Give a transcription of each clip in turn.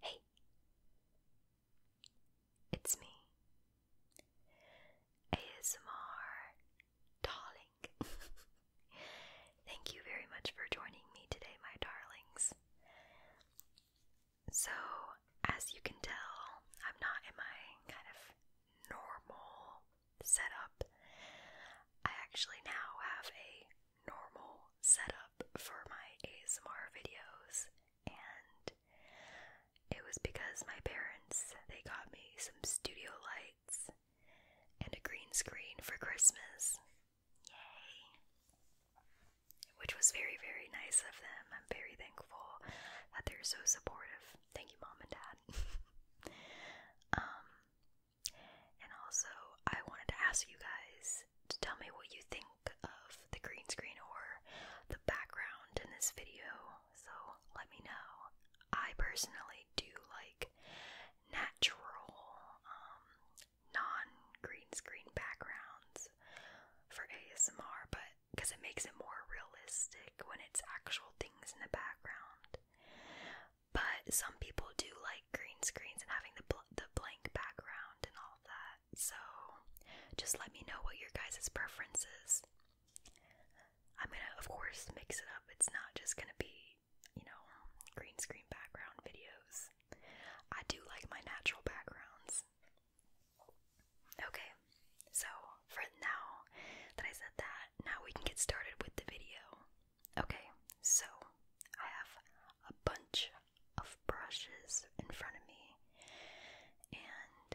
Hey, it's me, ASMR Darling. Thank you very much for joining me today, my darlings. So, as you can tell, I'm not in my kind of normal Set up. I actually now have a normal setup for my ASMR videos, and it was because my parents they got me some studio lights and a green screen for Christmas. Yay! Which was very, very nice of them. I'm very thankful that they're so supportive Thank you, mom and dad. um, and also, I wanted to ask you guys to tell me what you think of the green screen or the background in this video. So let me know. I personally do like natural, um, non green screen backgrounds for ASMR, but because it makes it more realistic when it's actual things in the background. But some people do like green screens and having the the blank background and all that. So just let me know what your guys' preference is. I'm gonna, of course, mix it up. It's not just gonna be, you know, green screen background videos. I do like my natural backgrounds. Okay, so, for now that I said that, now we can get started with the video. Okay, so I have a bunch of brushes in front of me, and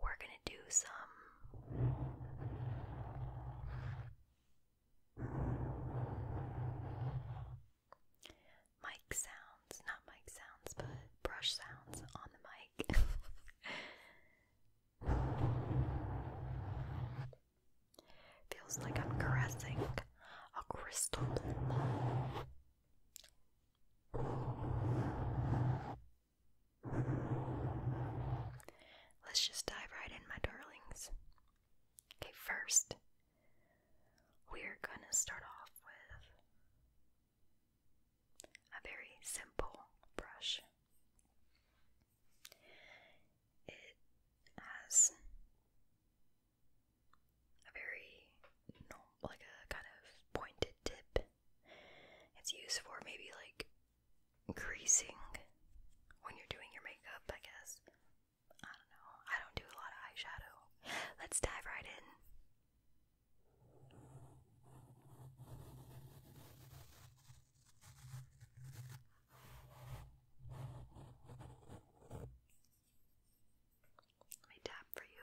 we're gonna do some. Mic sounds, not mic sounds, but brush sounds on the mic. Feels like I'm caressing a crystal Let's just dive right in, my darlings. Okay, first, we're gonna start off with a very simple brush. It has a very like a kind of pointed tip. It's used for maybe like greasing when you're doing your makeup, I guess. I don't know. I don't do a lot of eyeshadow. Let's dive right in. Let me tap for you.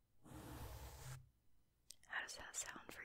How does that sound for you?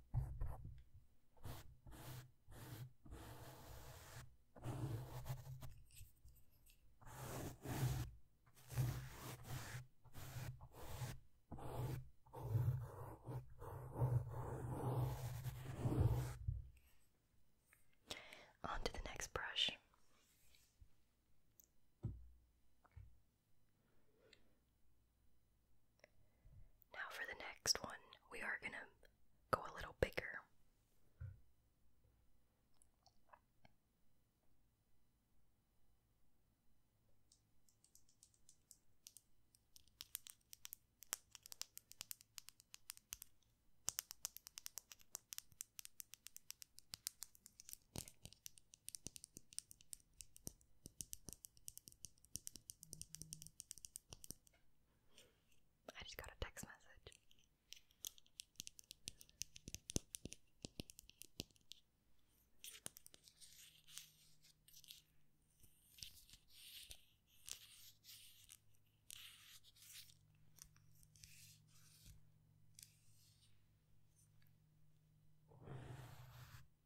On to the next brush. Now, for the next one, we are going to go a little bigger. I just got a text message.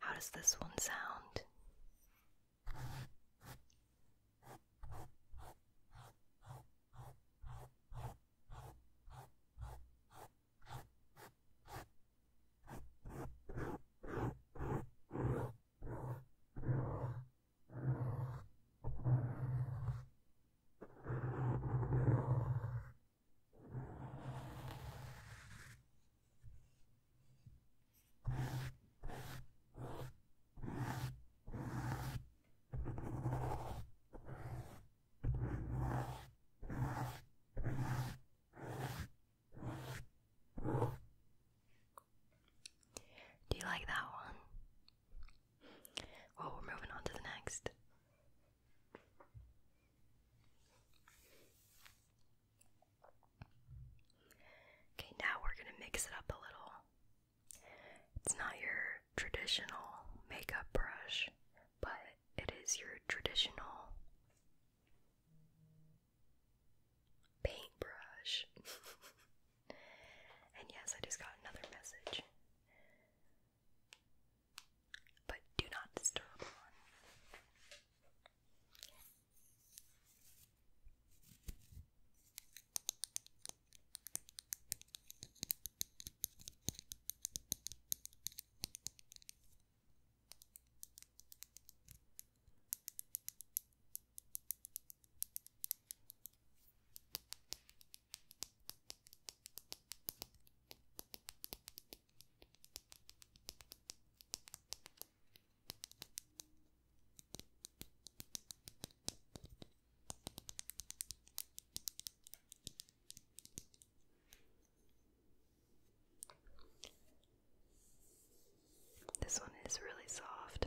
How does this one sound? Do you like that one? Well, we're moving on to the next. Okay, now we're going to mix it up a little. It's not your traditional makeup brush, but it is your traditional paintbrush. And yes, I just got another message. But do not disturb this one is really soft.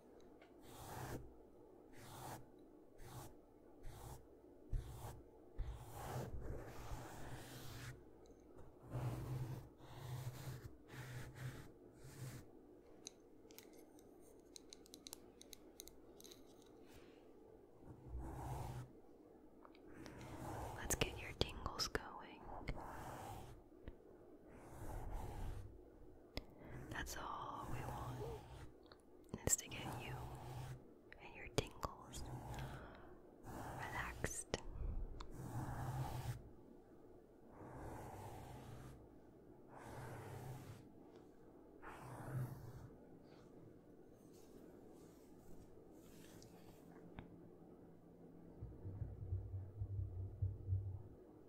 Let's get your tingles going. That's all we want is to get you and your tingles relaxed.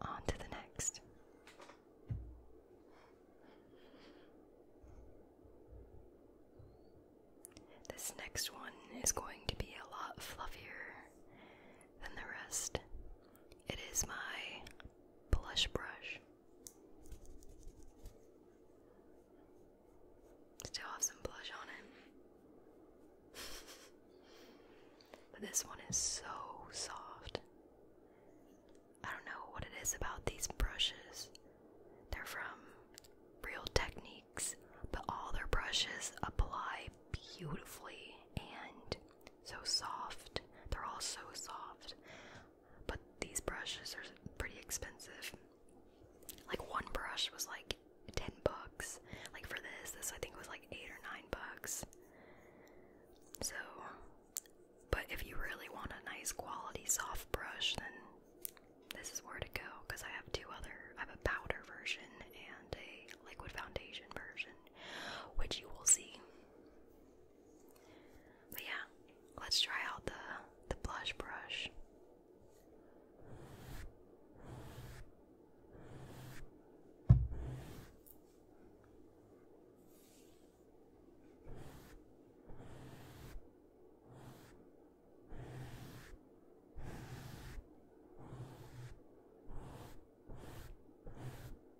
On to the next. This next one is going to be a lot fluffier than the rest. It is my blush brush. Still have some blush on it. but this one is so soft. I don't know what it is about these brushes. They're from Real Techniques, but all their brushes apply beautifully and so soft. They're all so soft but these brushes are pretty expensive. Like one brush was like 10 bucks. Like for this, this I think was like 8 or 9 bucks. So, but if you really want a nice quality soft brush, then this is where to go because I have two other I have a powder version and a liquid foundation version, which you will see yeah, let's try out the the blush brush.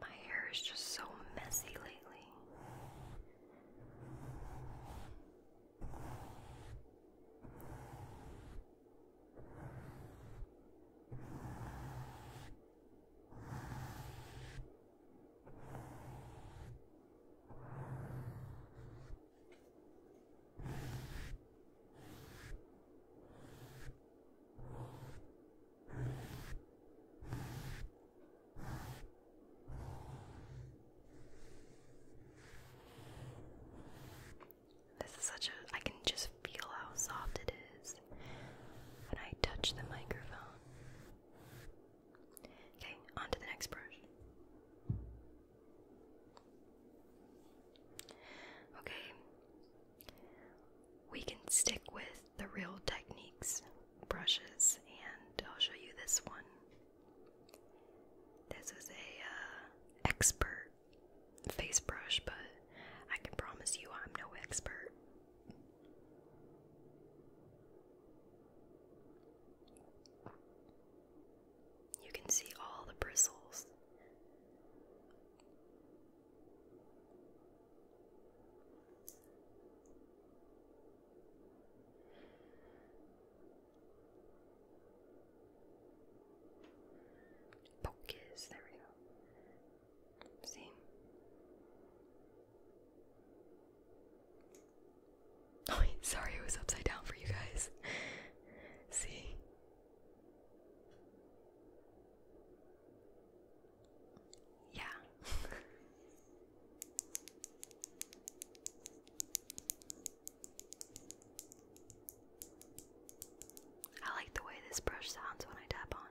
My hair is just so messy lately. This is such a. I can just feel how soft it is when I touch the microphone. Okay, on to the next brush. Okay, we can stick with the real techniques brushes, and I'll show you this one. This is a uh, expert face brush, but I can promise you I'm no expert. You can see all the bristles. Pocus, there we go. See? Oh, sorry, it was upside down for you guys. See? Yeah. I like the way this brush sounds when I tap on it.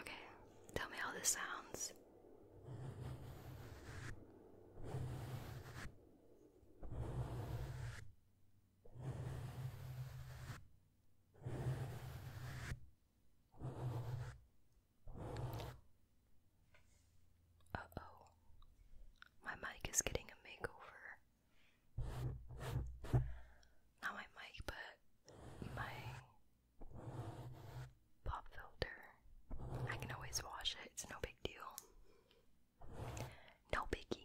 Okay, tell me how this sounds. Uh oh, my mic is getting a makeover. Not my mic, but my pop filter. I can always wash it, it's no big deal. No biggie.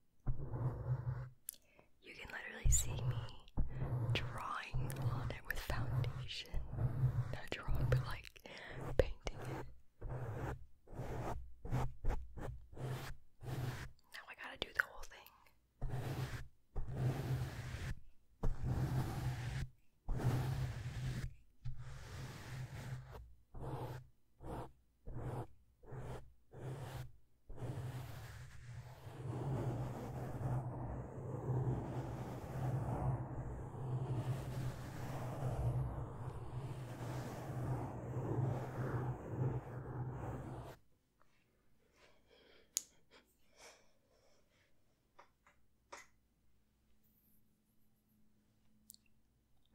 You can literally see me drawing on it with foundation. Not drawing, but like painting it. Now I gotta do the whole thing.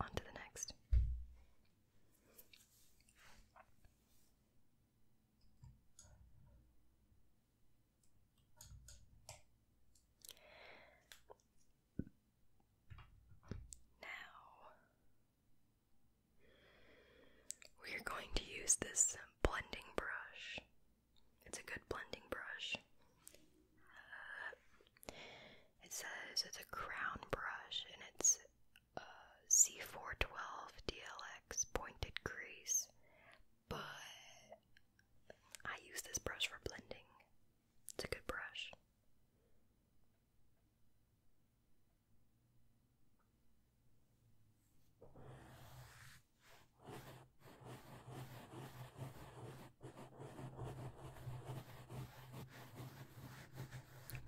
On to the next. Now, we are going to use this blending brush. It's a good blending brush. Uh, it says it's a crown brush and it's C412 DLX pointed crease, but I use this brush for blending. It's a good brush.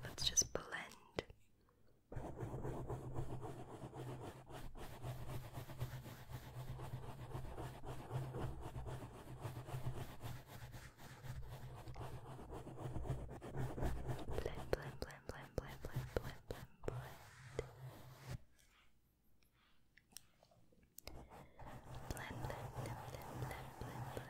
Let's just blend. Blend, blend, blend, blend, blend, blend, blend, blend, blend. Blend, blend, blend, blend, blend,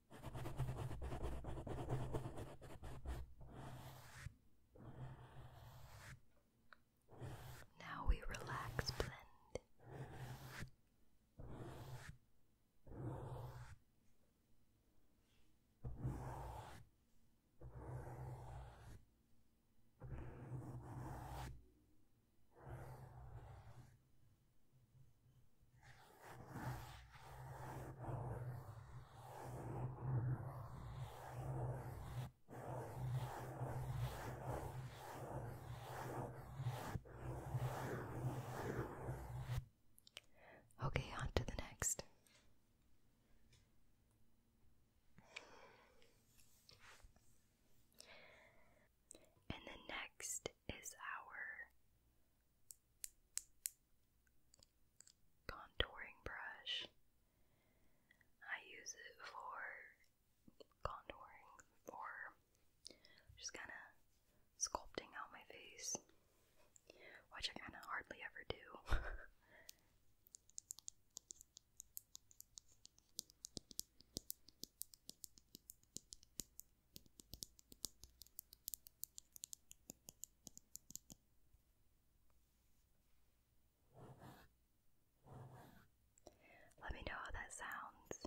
now we relax blend. Okay, on to the next. And the next is our contouring brush. I use it for contouring, for just kind of sculpting out my face, which I kind of hardly ever do. Let me know how that sounds.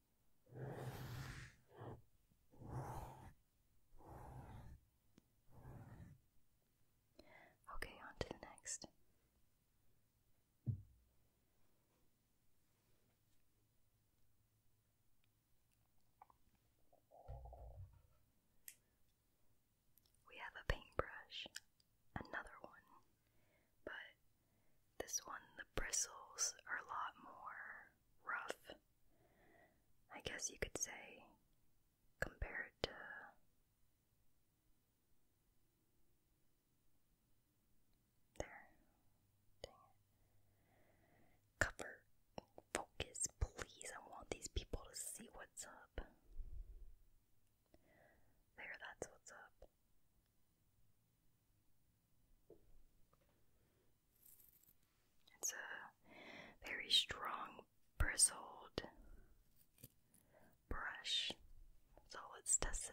Okay, on to the next. We have a paintbrush, another one, but this one, the bristles are a lot more rough. I guess you could say, compared to there. Dang it. Cover, focus, please. I want these people to see what's up. There, that's what's up. It's a very strong bristled brush. So let's test it out.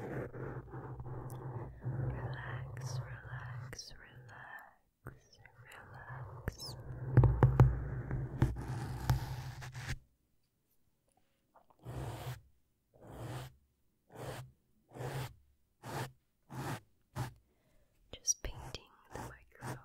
Relax, relax, relax, relax. Just painting the microphone.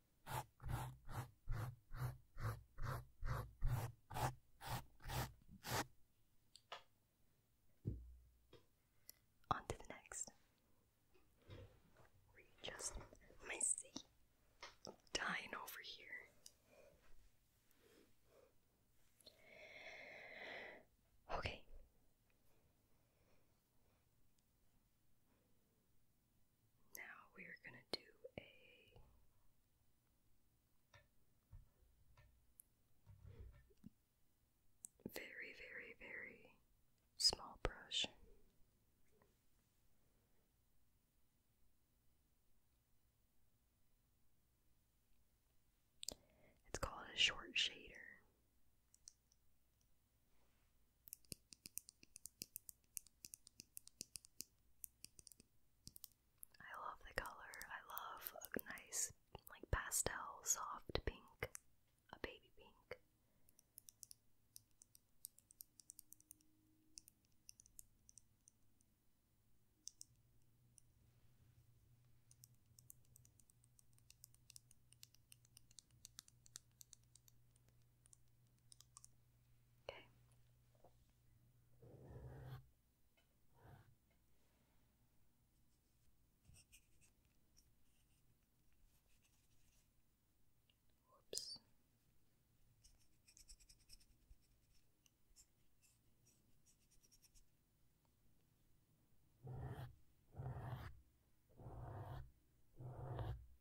On to the next. Readjust my seat. I'm dying over here. Okay. Now we are going to do a very, very, very small brush. It's called a short shader. I love the color. I love a nice, like pastel, soft pink, a baby pink. Okay. Whoops. Okay.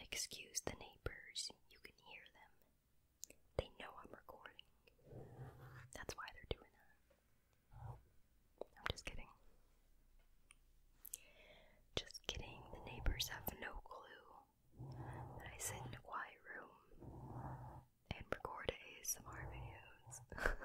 Excuse the neighbors, you can hear them. They know I'm recording. That's why they're doing that. I'm just kidding. Just kidding, the neighbors have no clue that I sit in a quiet room and record ASMR videos.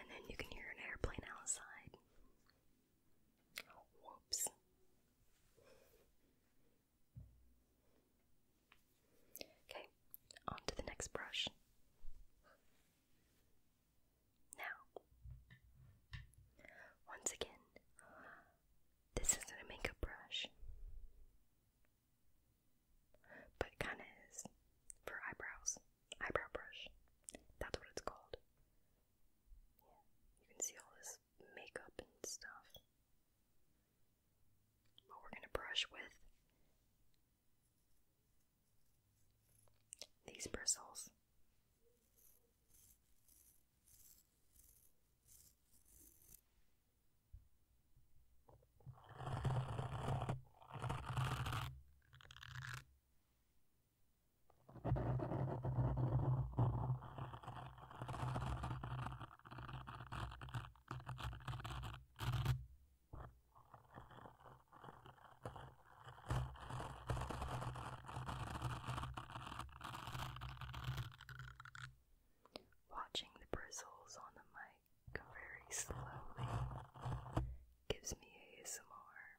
And then you can hear an airplane outside. Whoops. Okay, on the next brush. Now, once again, this isn't a makeup brush, but it kind of is for eyebrows. Eyebrow brush. That's what it's called you can see all this makeup and stuff. What we're gonna brush with these bristles. Watching the bristles on the mic go very slowly gives me ASMR.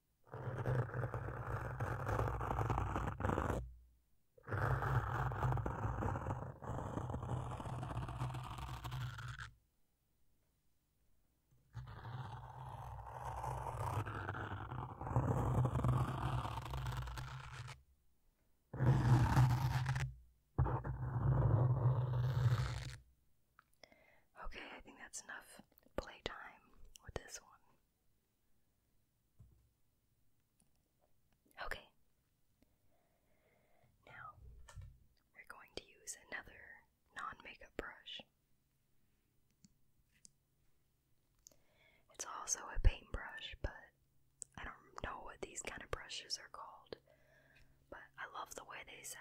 Okay, I think that's enough playtime with this one. Okay. Now, we're going to use another non makeup brush. It's also a paintbrush, but I don't know what these kind of brushes are called. But I love the way they sound.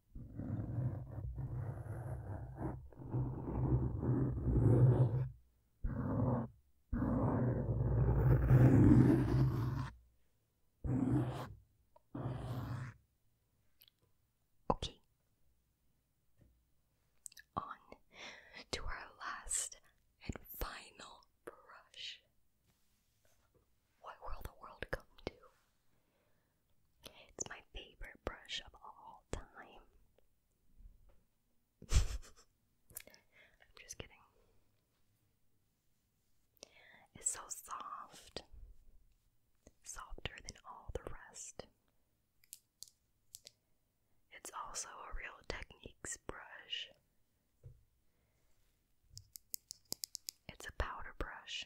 Okay. On to our last and final brush. What will the world come to? It's my favorite brush of all time. I'm just kidding. It's so soft, softer than all the rest. It's also a real techniques brush. It's a powder brush.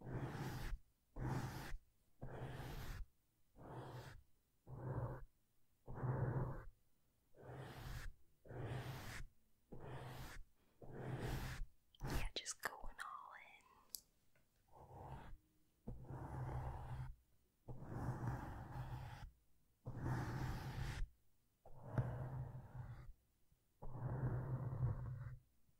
Yeah, just going all in.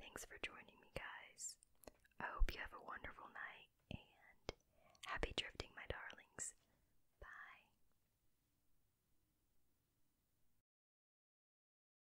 Thanks for joining me, guys. I hope you have a wonderful night and happy drifting, my darlings. Bye.